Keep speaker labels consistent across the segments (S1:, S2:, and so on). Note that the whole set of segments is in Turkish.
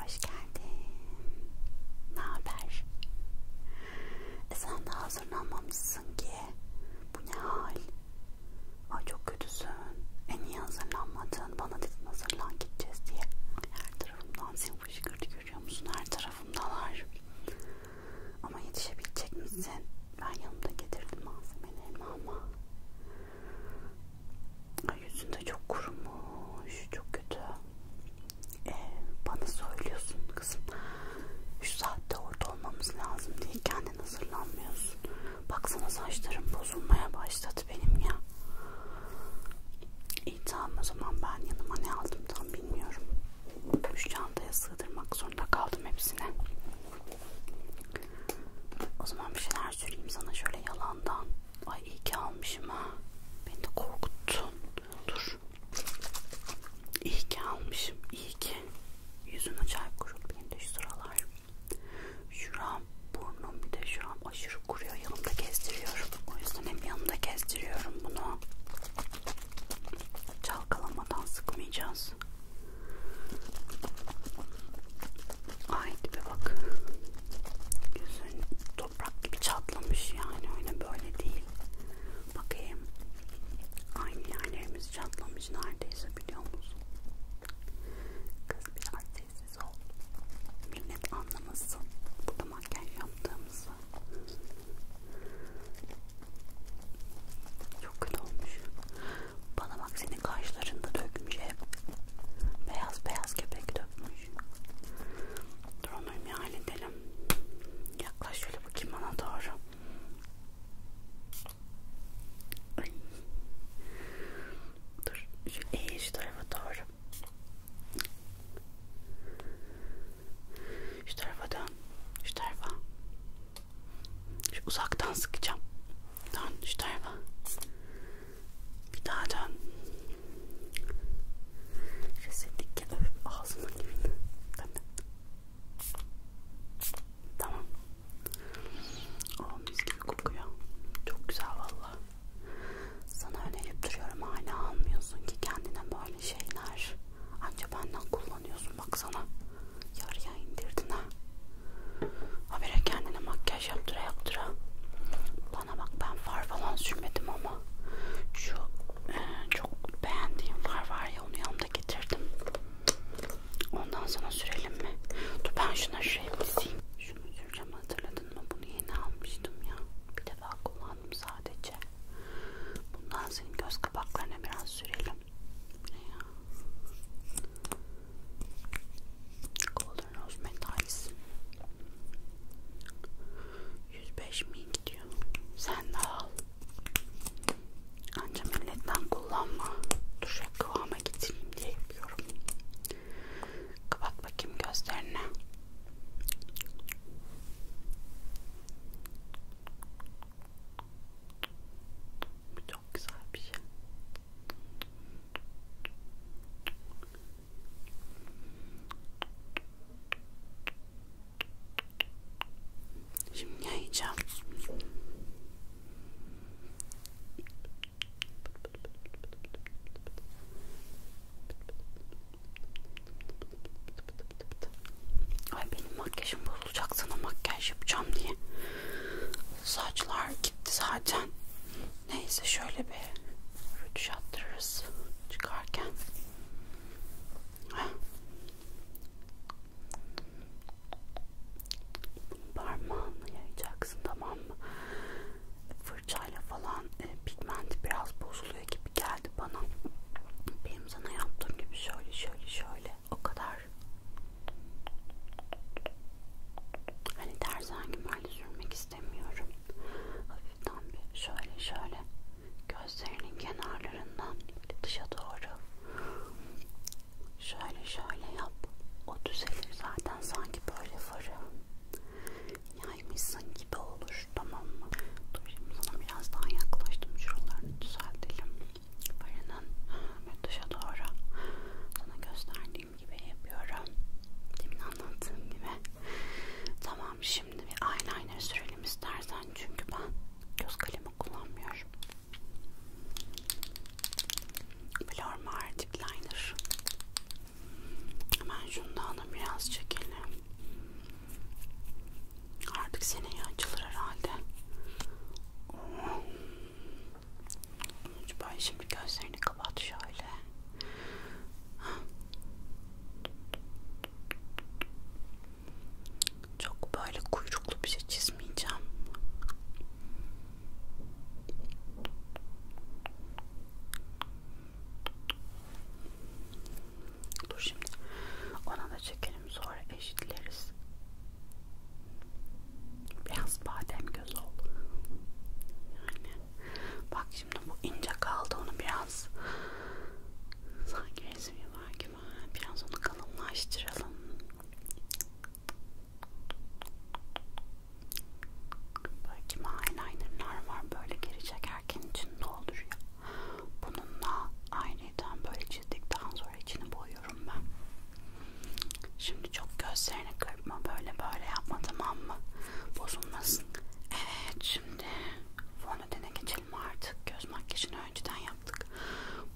S1: Hoş geldin. Ne haber? E sen de hazırlanmamışsın ki. Bu ne hal? Ay çok kötüsün. E niye hazırlanmadın? Bana dedin hazırlan gideceğiz diye. Her tarafımdan seni fışkırdı Görüyor musun? Her tarafımdalar. Ama yetişebilecek misin? Ben yanımda getirdim malzemelerimi ama Ay, yüzünde çok kurumuş. Çok kötü. Ee, bana söylüyorsun kızım. 3 saatte orada olmamız lazım diye kendin hazırlanmıyorsun. Baksana saçlarım bozulmaya başladı benim ya. İyi tamam o zaman ben yanıma ne aldım tam bilmiyorum. Üç çantaya sığdırmak zorunda kaldım hepsine. O zaman bir şeyler söyleyeyim sana şöyle yalandan. Ay iyi ki almışım ha. Beni de korkuttun. Dur. İyi ki almışım. İyi ki. Yüzün acayip kurul benim de şu sıralar. Şuram Burnum bir de şu an aşırı kuruyor. Yanımda gezdiriyorum. O yüzden hem yanımda gezdiriyorum bunu. Çalkalamadan sıkmayacağız. Ay tipe bak. Gözün toprak gibi çatlamış yani. Öyle böyle değil. Bakayım. Aynı yerlerimiz çatlamış neredeyse biliyor musun? Kız biraz sessiz ol. Millet anlamasın burada makyaj yaptığımızı. Çok kötü olmuş. Bana bak senin kaşlarında dökmüş hep. Beyaz beyaz kepek dökmüş. Dur onu bir halledelim. Yaklaş şöyle bakayım bana doğru. Ay. Dur şu eğiş tarafa doğru. Şu tarafa dön. Şu tarafa. Şu uzaktan sıkacağım. Dön şu tarafa. Bir daha dön. Resetlik ya. Ağzıma girdi. Tamam. O mis gibi kokuyor. Çok güzel valla. Sana önerip duruyorum hala almıyorsun ki kendine böyle şeyler. Anca benden kullanıyorsun baksana. Yarıya indirdin ha. Habire kendine makyaj yaptıra yaptıra. Bana bak ben far falan sürmedim ama şu e, çok beğendiğim far var ya onu yanımda getirdim. Ondan sonra sürelim mi? Dur ben şuna şuraya bir Şunu süreceğim hatırladım kullandın mı? Bunu yeni almıştım ya. Bir defa kullandım sadece. Bundan senin göz kapaklarına biraz sürelim. Ne ya? Golden Rose Metals. 105 mi gidiyor? Sen de al. Anca milletten kullanma. Dur şöyle kıvama getireyim diye yapıyorum. Kapat bakayım gözlerini. Bu çok güzel bir şey. Şimdi yayacağım. Ay benim makyajım bozulacak sana makyaj yapacağım diye. Saçlar gitti zaten. Neyse şöyle bir rütüş attırırız çıkarken. Heh. Parmağını yayacaksın tamam mı? Fırça fırçayla falan e, pigment biraz bozuluyor gibi geldi bana. Benim sana yaptığım gibi şöyle şöyle şöyle o kadar. Hani dersen gibi sürmek istemiyorum. Hafiften bir şöyle şöyle gözlerinin kenarlarından dışa doğru şöyle şöyle yap. O düzelir zaten sanki böyle farı yaymışsın gibi olur tamam mı? Dur şimdi sana biraz daha yaklaştım şuralarını düzeltelim. Farının dışa doğru sana gösterdiğim gibi yapıyorum. Demin anlattığım gibi. Tamam şimdi bir eyeliner sürelim istersen çünkü ben göz kalemi kullanmıyorum. Blur Mar Liner Hemen şundan da biraz çekelim. Artık seneye açılır herhalde. Bay şimdi gözlerini kapat şöyle. Çok böyle kuyruklu bir şey çizmeyeceğim. Dur şimdi. Ona da çekelim sonra eşitleriz. Biraz badem göz ol. Yani bak şimdi bu ince kaldı onu biraz sanki resmi var gibi. Biraz onu kalınlaştıralım. Böyle kimi eyelinerlar var böyle geri çekerken içini dolduruyor. Bununla aynıydan böyle çizdikten sonra içini boyuyorum ben. Şimdi çok gözlerini kırpma böyle böyle yapma tamam mı? Bozulmasın. Evet şimdi fondötene geçelim artık. Göz makyajını önceden yaptık.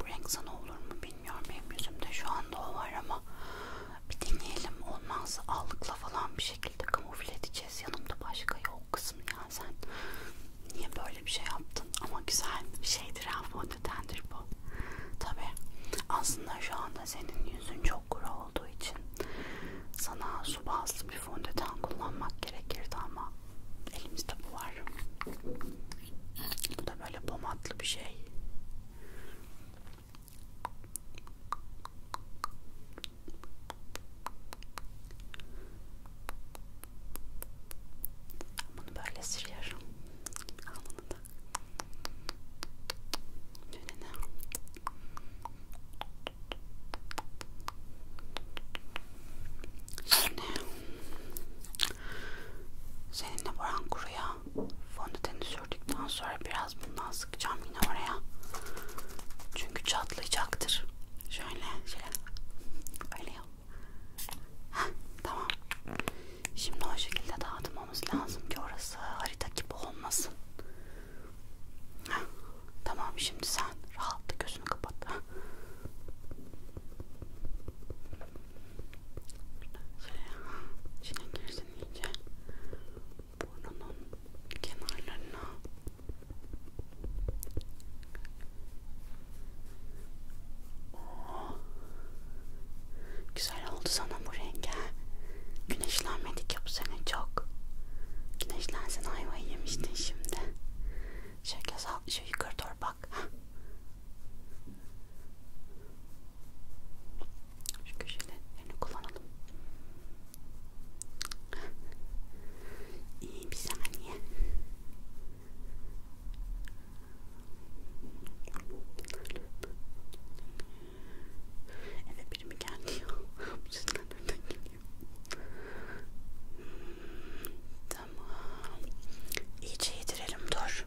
S1: Bu renk sana olur mu bilmiyorum. Benim yüzümde şu anda o var ama bir deneyelim olmazsa allıkla falan bir şekilde kamufle edeceğiz yanımda başka yok kızım ya sen niye böyle bir şey yaptın ama güzel bir şeydir ha fondötendir bu tabi aslında şu anda senin yüzün çok kuru olduğu için sana su bazlı bir fondöten kullanmak gerekirdi ama elimizde bu var bu da böyle pomatlı bir şey bunu böyle sürüyorum. Al bunu da. Önüne. Şimdi seninle Burhan Kuru'ya fondöteni sürdükten sonra biraz bundan sıkacağım yine oraya. Çünkü çatlayacaktır. Şöyle şöyle. Öyle yap. Heh, tamam. Şimdi o şekilde dağıtmamız lazım ki orası harita gibi olmasın. Heh, tamam şimdi sen rahatla gözünü kapat. Heh şey içine girsin iyice burnunun kenarlarına Oo. Güzel oldu sana bu renk Güneşlenmedik ya bu sene çok Güneşlensen ayvayı yemiştin şimdi Şöyle sağ, şu yukarı doğru bak şu köşelerini kullanalım. İyi bir saniye. Eve biri mi geldi ya? Bu sesler nereden geliyor? Tamam. İyice yedirelim dur.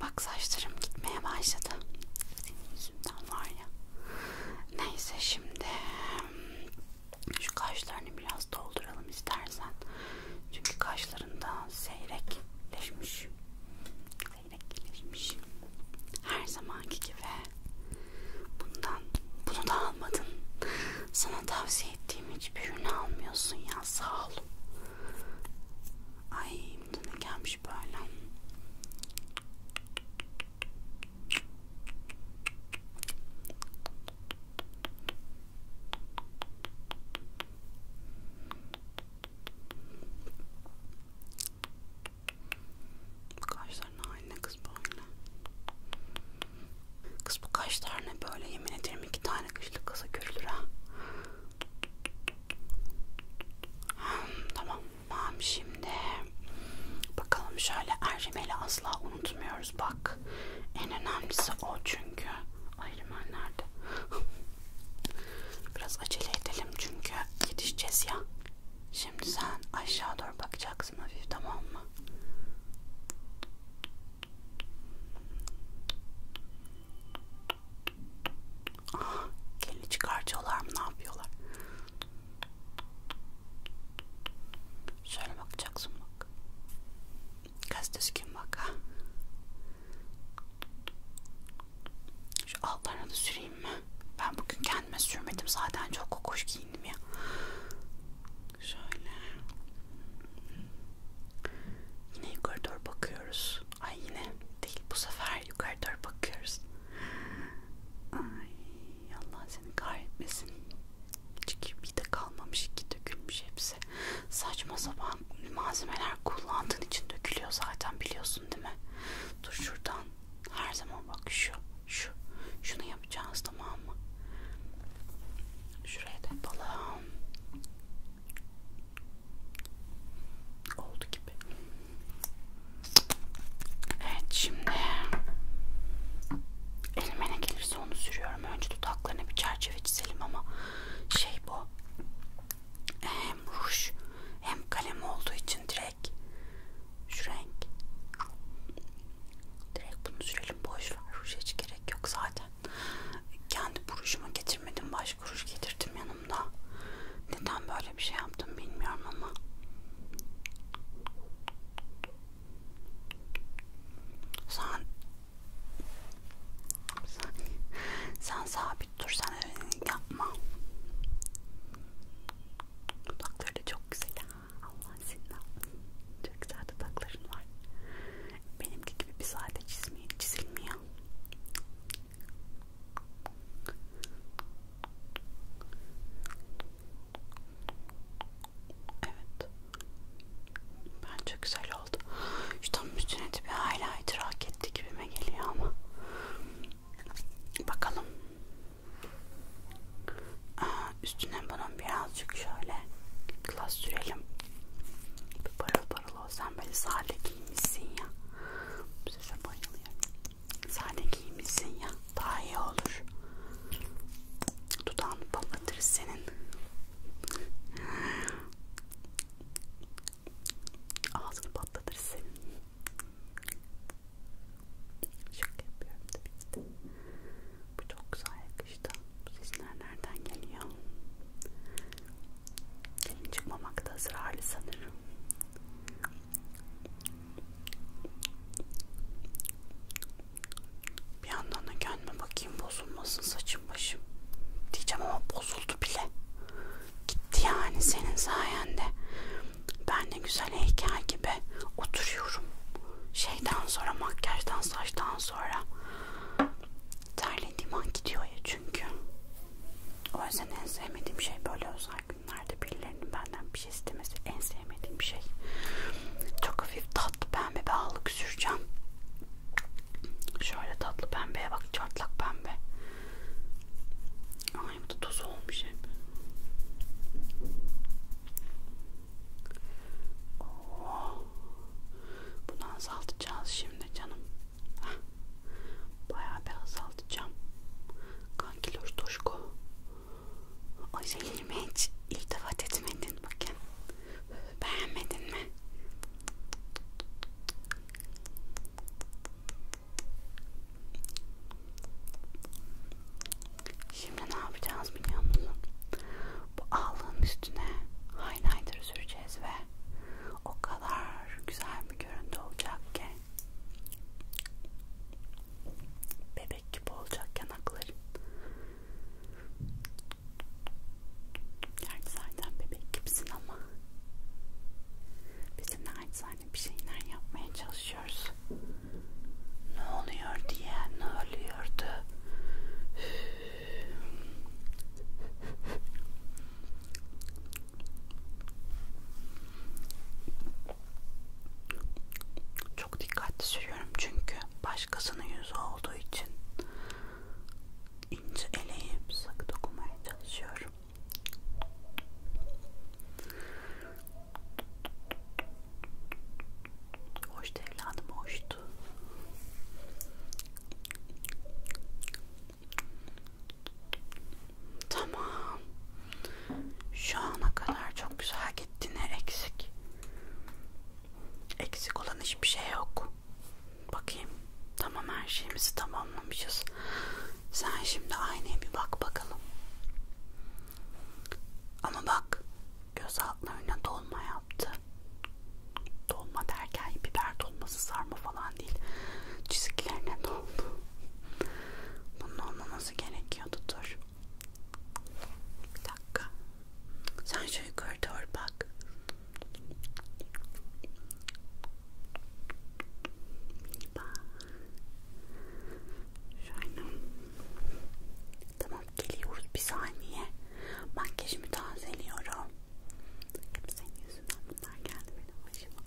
S1: Bak saçlarım gitmeye başladı. Senin yüzünden var ya. Neyse şimdi hmm, şu kaşlarını biraz dolduralım istersen. Çünkü kaşlarında seyrekleşmiş. Seyrekleşmiş. Her zamanki gibi. Bundan bunu da almadın. Sana tavsiye ettiğim hiçbir ürünü almıyorsun ya. Sağ ol. Ay bu da ne gelmiş böyle. Kaşların haline kız böyle. Kız bu kaşlar ne böyle yemin ederim iki tane kışlık kasa görülür ha. Hmm, tamam, tamam şimdi bakalım şöyle ercimeli asla unutmuyoruz bak. En önemlisi o çünkü. Ayrıman nerede? Biraz acele edelim çünkü yetişeceğiz ya. Şimdi sen aşağı doğru bakacaksın hafif tamam mı? Ah, kelini çıkartıyorlar mı? Ne yapıyorlar? Şöyle bakacaksın bak. Gaz düzgün bak ha. Şu altlarına da süreyim mi? Ben bugün kendime sürmedim zaten çok kokuş giyindim ya. Şöyle. Yine yukarı doğru bakıyoruz. Ay yine değil bu sefer beraber yukarı doğru bakıyoruz. Ay Allah seni kahretmesin. Çünkü bir de kalmamış iki dökülmüş hepsi. Saçma sapan malzemeler kullandığın için dökülüyor zaten biliyorsun değil mi? Dur şuradan her zaman bak şu şu şunu yapacağız tamam mı? Şuraya da yapalım. Oldu gibi. Evet şimdi elime ne gelirse onu sürüyorum. Önce dudaklarına bir çerçeve çizelim ama şey bu hem ruj hem kalem olduğu için direkt şu renk direkt bunu sürelim boş ver ruj hiç gerek yok zaten kendi buruşuma getirmedim baş beş kuruş getirdim yanımda. Neden böyle bir şey yaptım bilmiyorum ama. Sen sen, sen sabit dur sen öyle yapma. Dudakları da çok güzel. Allah senin Çok güzel dudakların var. Benimki gibi bir sade çizmiyor, çizilmiyor. Evet. Bence güzel oldu. Şu tam üstüne bir highlighter hak etti gibime geliyor ama. Bakalım. Aa, üstüne bunun birazcık şöyle klas sürelim. Bir parıl parıl Allah sen böyle sade giymişsin ya. Bu sefer bayılıyorum. Sade giymişsin ya. Daha iyi olur. Dudağını patlatır senin. Ağzını patlatır senin. Şaka yapıyorum tabii ki Bu çok güzel yakıştı. Bu sesler nereden geliyor? çıkmamakta ısrarlı sanırım. Bir yandan da kendime bakayım bozulmasın saçım başım diyeceğim ama bozuldu bile. Gitti yani senin sayende. Ben de güzel heykel gibi oturuyorum. Şeyden sonra makyajdan saçtan sonra terlediğim an gidiyor ya çünkü. O yüzden en sevmediğim şey böyle özel günlerde birilerinin benden bir şey istemesi en sevmediğim şey. Çok hafif tatlı pembe bir ağlık süreceğim. Şöyle tatlı pembeye bak çatlak pembe. Ay bu da toz olmuş hep. Oh. Bunu azaltacağız şimdi canım. Heh. Bayağı bir azaltacağım. Kankiloş Toşko. O zeynime hiç iltifat etmedin bakın. Beğenmedin mi? Şimdi ne yapacağız biliyor musun? Bu ağlığın üstüne highlighter süreceğiz ve o kadar güzel bir görüntü olacak ki bebek gibi olacak yanakların gerçi zaten bebek gibisin ama biz de naçizane bir şeyler yapmaya çalışıyoruz ne oluyor diye ne oluyordu çok dikkatli sürüyorum çünkü başkasının yüzü olduğu için ince eleyip sık dokunmaya çalışıyorum. Hoştu evladım hoştu oldu. Tamam. Şu ana kadar çok güzel gitti. Ne eksik? Eksik olan hiçbir şey yok. Bakayım. Tamam her şeyimizi tamamlamışız. Sen şimdi aynaya bir bak bakalım. Ama bak göz altlarına dolma yaptı. Dolma derken biber dolması sarma falan değil. Çiziklerine doldu. Bunun olmaması gerekiyordu dur. Bir dakika. Sen şu yukarı doğru bak. Şöyle. Tamam geliyoruz bir saniye. Makyajımı tazeliyorum. Çünkü senin yüzünden bunlar geldi benim başıma.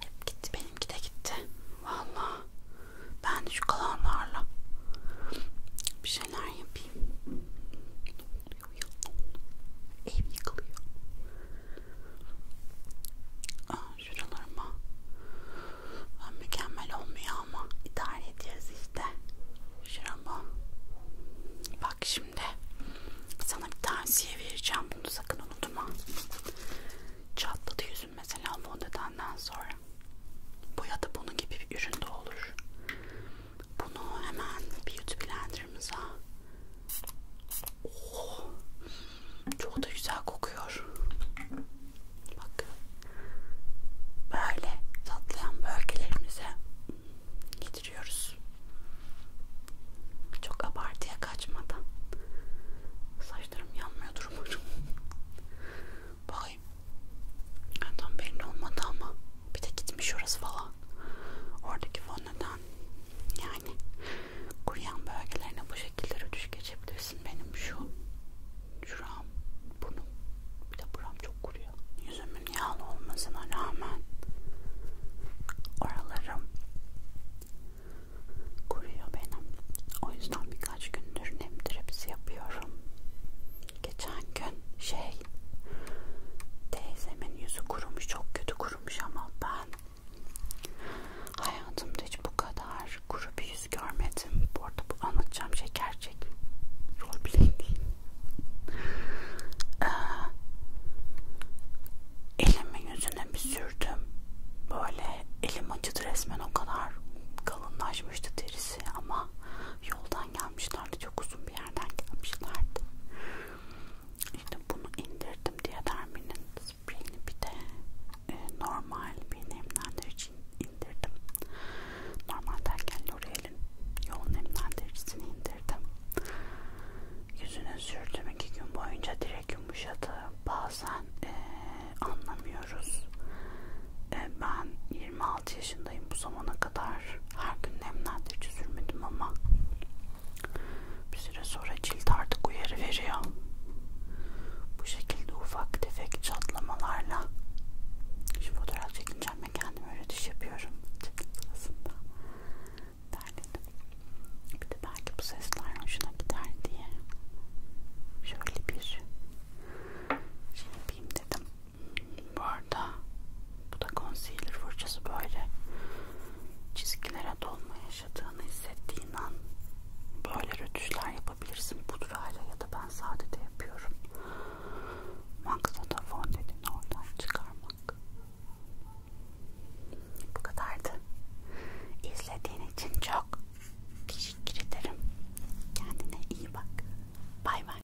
S1: Hep gitti benimki de gitti. Vallahi ben de şu kalanlarla bir şeyler yapayım. Ne oluyor ya? Ev yıkılıyor. Aa, şuralarıma ben mükemmel olmuyor ama idare edeceğiz işte. Şuralar arama. Bak şimdi sana bir tavsiye vereceğim. Bunu sakın unutma. Çatladı yüzün mesela fondötenden sonra. Bu ya da bunun gibi bir ürün de olur. Bunu hemen beauty blenderımıza. Oh, çok da güzel kokuyor. Bak. Böyle tatlayan bölgelerimize getiriyoruz. Çok abartıya kaçmadan. Saçlarım yanmıyordur umarım. Bakayım. Yani tam belli olmadı ama bir de gitmiş orası falan. Oradaki fondöten yani kuruyan bölgelerine bu şekilde rötuş geçebilirsin. Benim şu şuram burnum bir de buram çok kuruyor. Yüzümün yağlı olmasına rağmen oralarım kuruyor benim. O yüzden birkaç gündür nem dripsi yapıyorum. Geçen gün şey teyzemin yüzü kurumuş çok kötü kurumuş ama ben hayatımda hiç bu kadar kuru bir yüz görmedim. Bu arada bu anlatacağım şey gerçek. Rol playing değil. Ee, elimi yüzüne bir sürdüm. Böyle elim acıdı resmen o kadar kalınlaşmıştı derisi ama yoldan gelmişlerdi. Çok uzun bir yerden gelmişlerdi. İşte bunu indirdim diye derminin spreyini bir de e, normal bir nemlendirici indirdim. Normal derken L'Oreal'in yoğun nemlendiricisini indirdim. Yüzüne sürdüm iki gün boyunca direkt yumuşadı. Bazen ee, anlamıyoruz. E, ben 26 yaşındayım bu zamana kadar her gün nemlendirici sürmedim ama bir süre sonra cilt artık uyarı veriyor. Bu şekilde ufak tefek çatlamalarla şu fotoğraf çekince düşeceğim ve kendime öyle düş yapıyorum. Çekim sırasında derledim. Bir de belki bu sesler hoşuna gider diye şöyle bir şey yapayım dedim. Bu arada bu da concealer fırçası böyle çizgilere dolma yaşadığını hissettiğin an böyle rötuşlar yapabilirsin pudrayla ya da ben sadece yapıyorum Maksada fondöteni oradan çıkarmak. Bu kadardı. İzlediğin için çok teşekkür ederim. Kendine iyi bak. Bay bay.